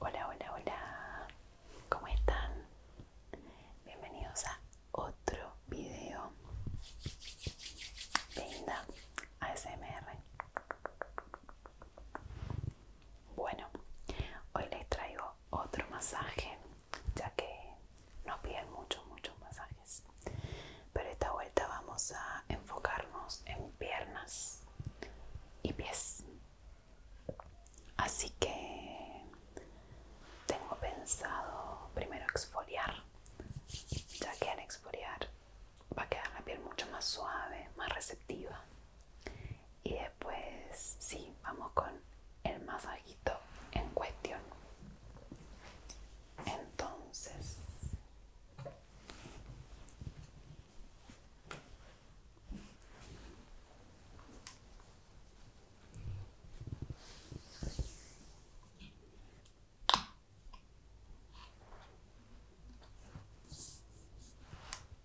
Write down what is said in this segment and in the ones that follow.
Hola, hola, hola, ¿cómo están? Bienvenidos a otro video de Inda ASMR. Bueno, hoy les traigo otro masaje, ya que nos piden muchos, muchos masajes. Pero esta vuelta vamos a enfocarnos en piernas y pies. Así que tengo pensado primero exfoliar, ya que al exfoliar va a quedar la piel mucho más suave, más receptiva y después sí, vamos con el masajito en cuestión. Entonces,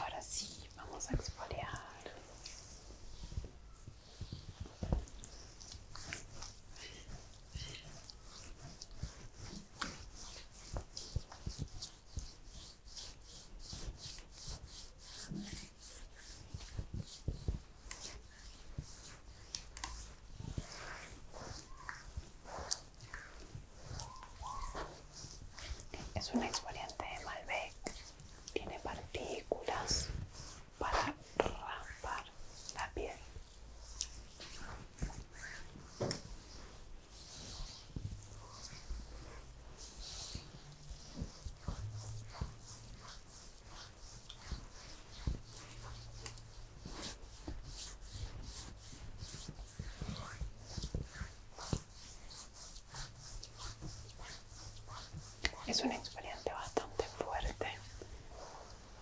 Ahora sí, vamos a exfoliar. Es un exfoliante de Malbec tiene partículas para raspar la piel. Es un experiencia bastante fuerte,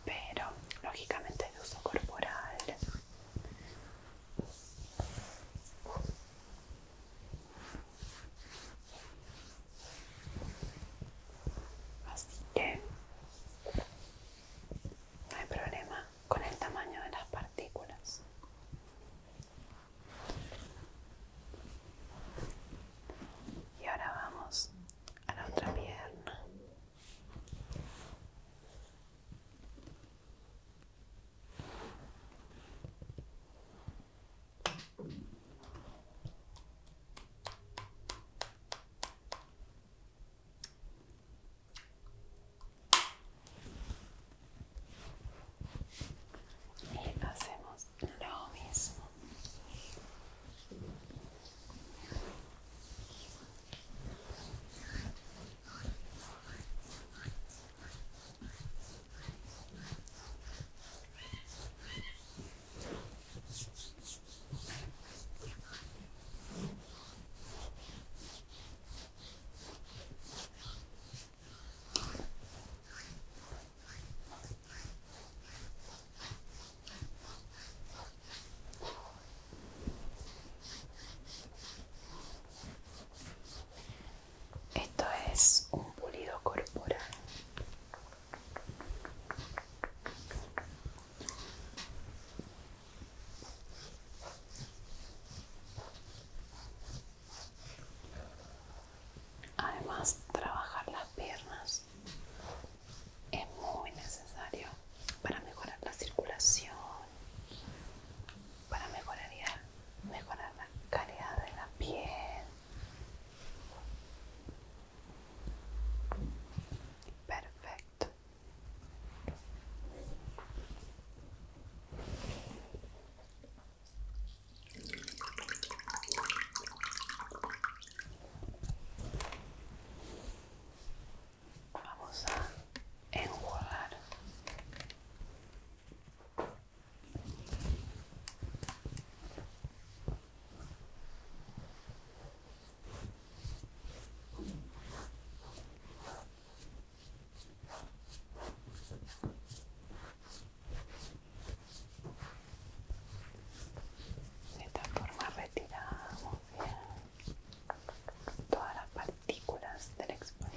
pero lógicamente de uso corporal. Así que no hay problema con el tamaño de las partículas. Y ahora vamos a la otra pierna y hacemos lo mismo esto es un pulido corporal. Además, trabajar las piernas es muy necesario para mejorar la circulación, para mejorar, la calidad de la piel. Perfecto. Vamos a enjuagar. De esta forma retiramos bien todas las partículas del exfoliante.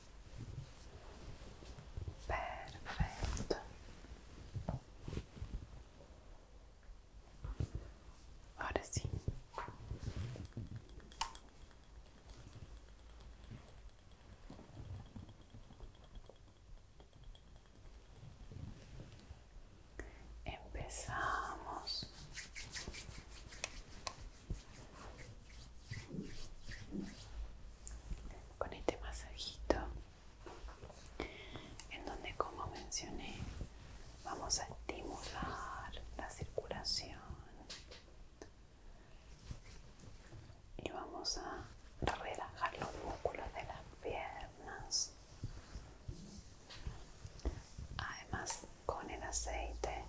Perfecto. Ahora sí. Empezamos con este masajito en donde como mencioné vamos a estimular la circulación y vamos a relajar los músculos de las piernas además con el aceite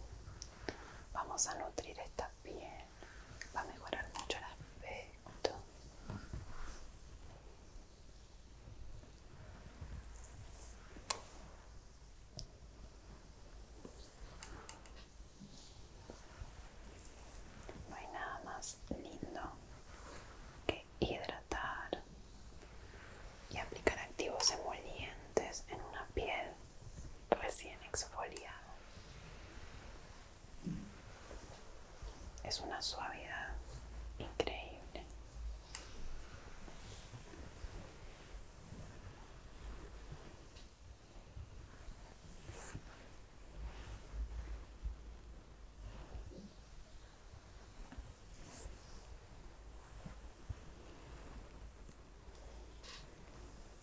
vamos a nutrir esta piel va a mejorar mucho el aspecto no hay nada más lindo que hidratar y aplicar activos emolientes en una piel recién exfoliado. Es una suavidad increíble.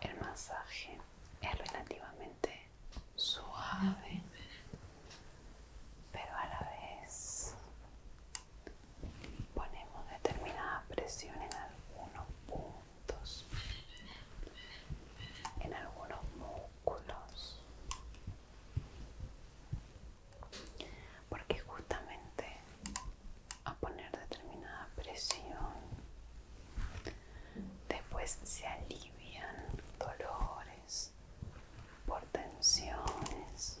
El masaje es relativamente suave pero a la vez ponemos determinada presión en algunos puntos, en algunos músculos, porque justamente a poner determinada presión después se alivian dolores por tensiones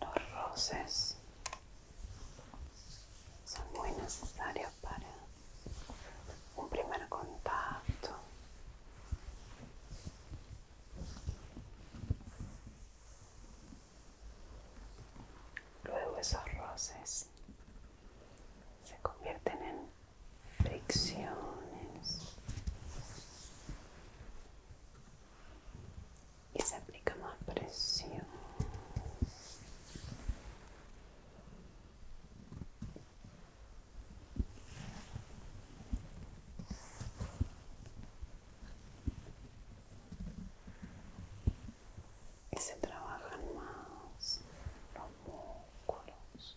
Los roces son muy necesarios para un primer contacto. Luego esos roces se convierten en fricciones y se aplica más presión y se trabajan más los músculos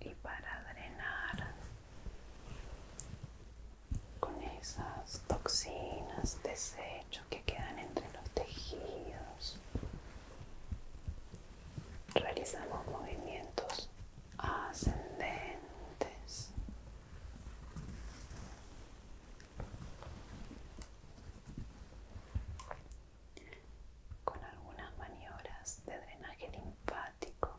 y para drenar con esas toxinas, desechos que quedan entre los tejidos, realizamos movimientos ascendentes con algunas maniobras de drenaje linfático.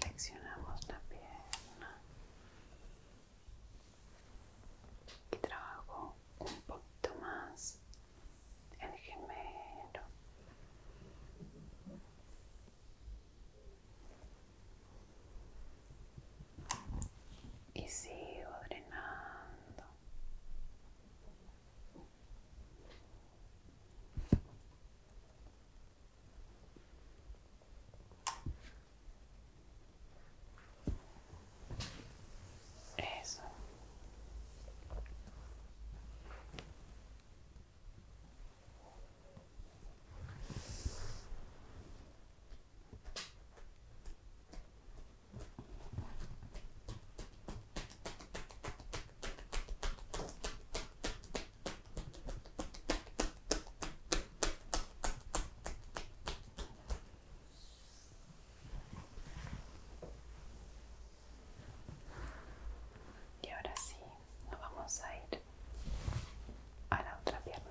Flexionamos la pierna y trabajo un poquito más el gemelo y sigo drenando eso y ahora sí, nos vamos a ir a la otra piernita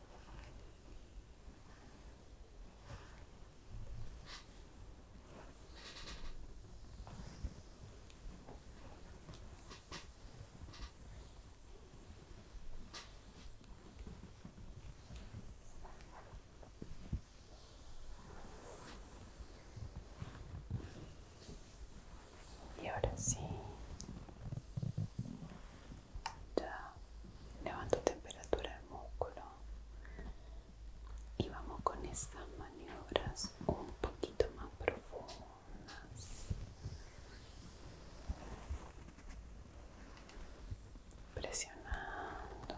Y ahora sí, ya levanto temperatura del músculo y vamos con estas maniobras un poquito más profundas presionando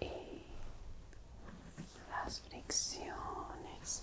y las fricciones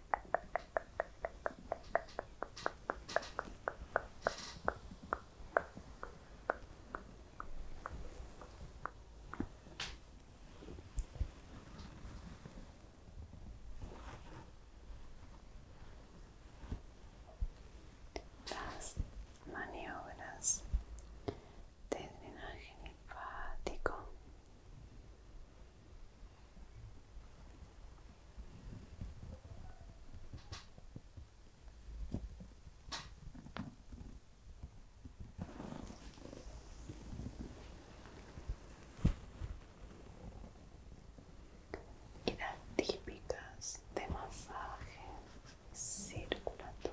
Las maniobras de drenaje linfático y las típicas de masaje circulatorio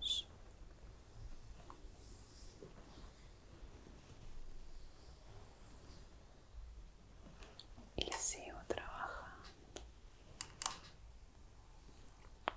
Seleccionamos. Y sigo trabajando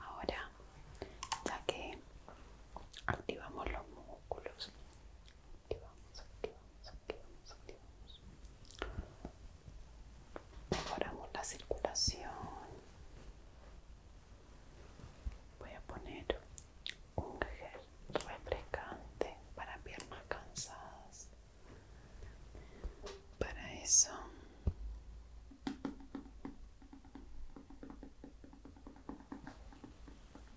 Ahora, ya que activamos los músculos aquí vamos, aquí vamos, aquí vamos Mejoramos la circulación. Voy a poner un gel refrescante para piernas cansadas. Para eso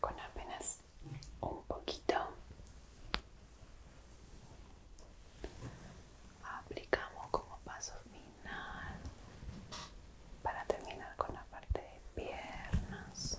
con apenas un poquito aplicamos como paso final para terminar con la parte de piernas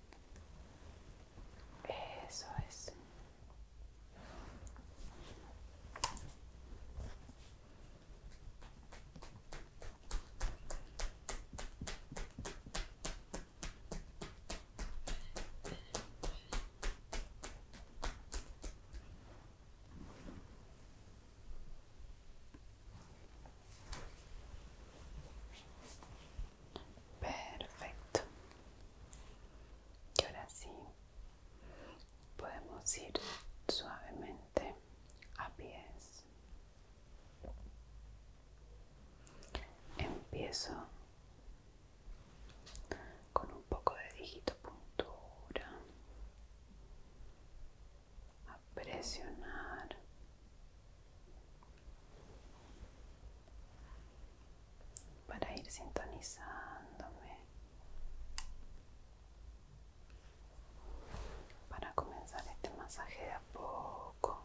Eso es. Perfecto. Y ahora sí, podemos ir suavemente a pies. Empiezo con un poco de puntura a presionar para ir sintonizándome, para comenzar este masaje a poco.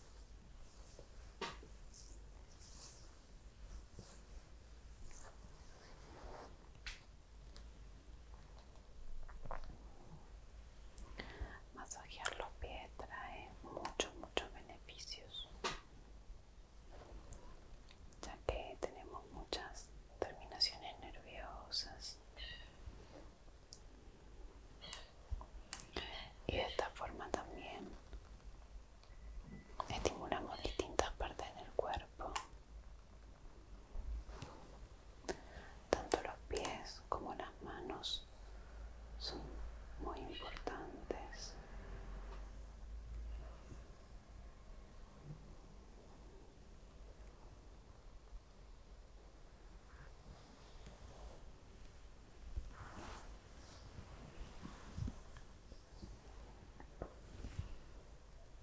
Masajear los pies trae muchos, muchos beneficios, ya que tenemos muchas terminaciones nerviosas y de esta forma también estimulamos distintas partes del cuerpo tanto los pies como las manos son muy importantes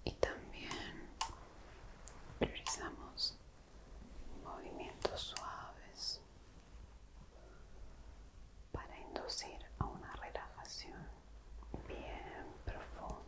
y también realizamos movimientos suaves para inducir a una relajación bien profunda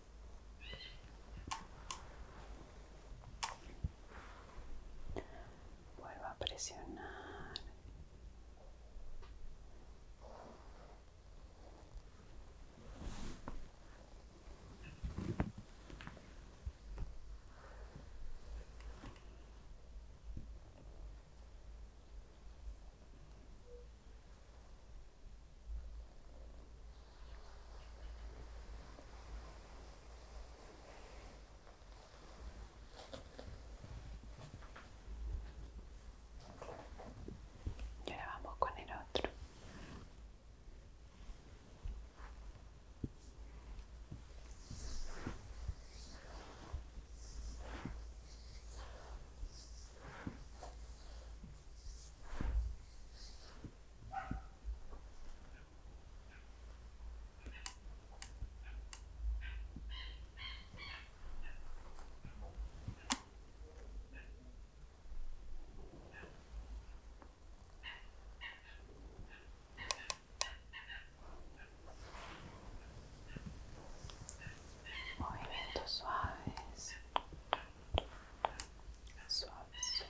Vuelvo a presionar. Y ahora vamos con el otro. Movimientos suaves, suaves,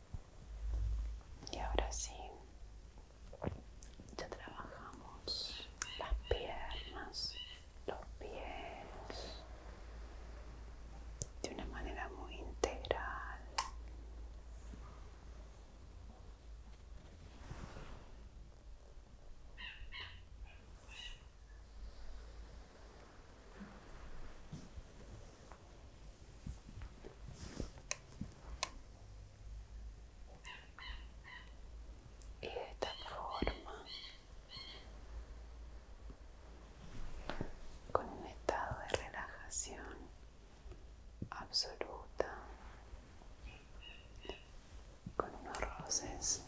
Y ahora sí, ya trabajamos las piernas, los pies de una manera muy integral y de esta forma con un estado de relajación absoluta con unos roces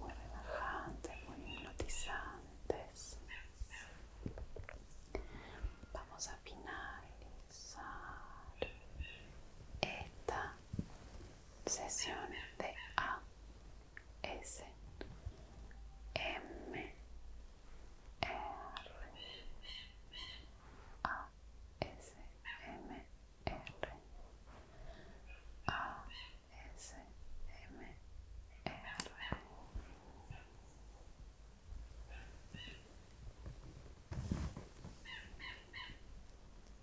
muy relajantes, muy hipnotizantes Vamos a finalizar esta sesión de A S M R S M R A S M R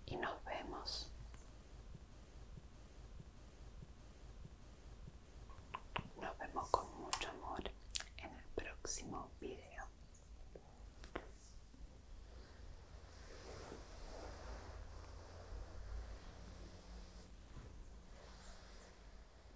y nos vemos. Nos vemos con mucho amor en el próximo video.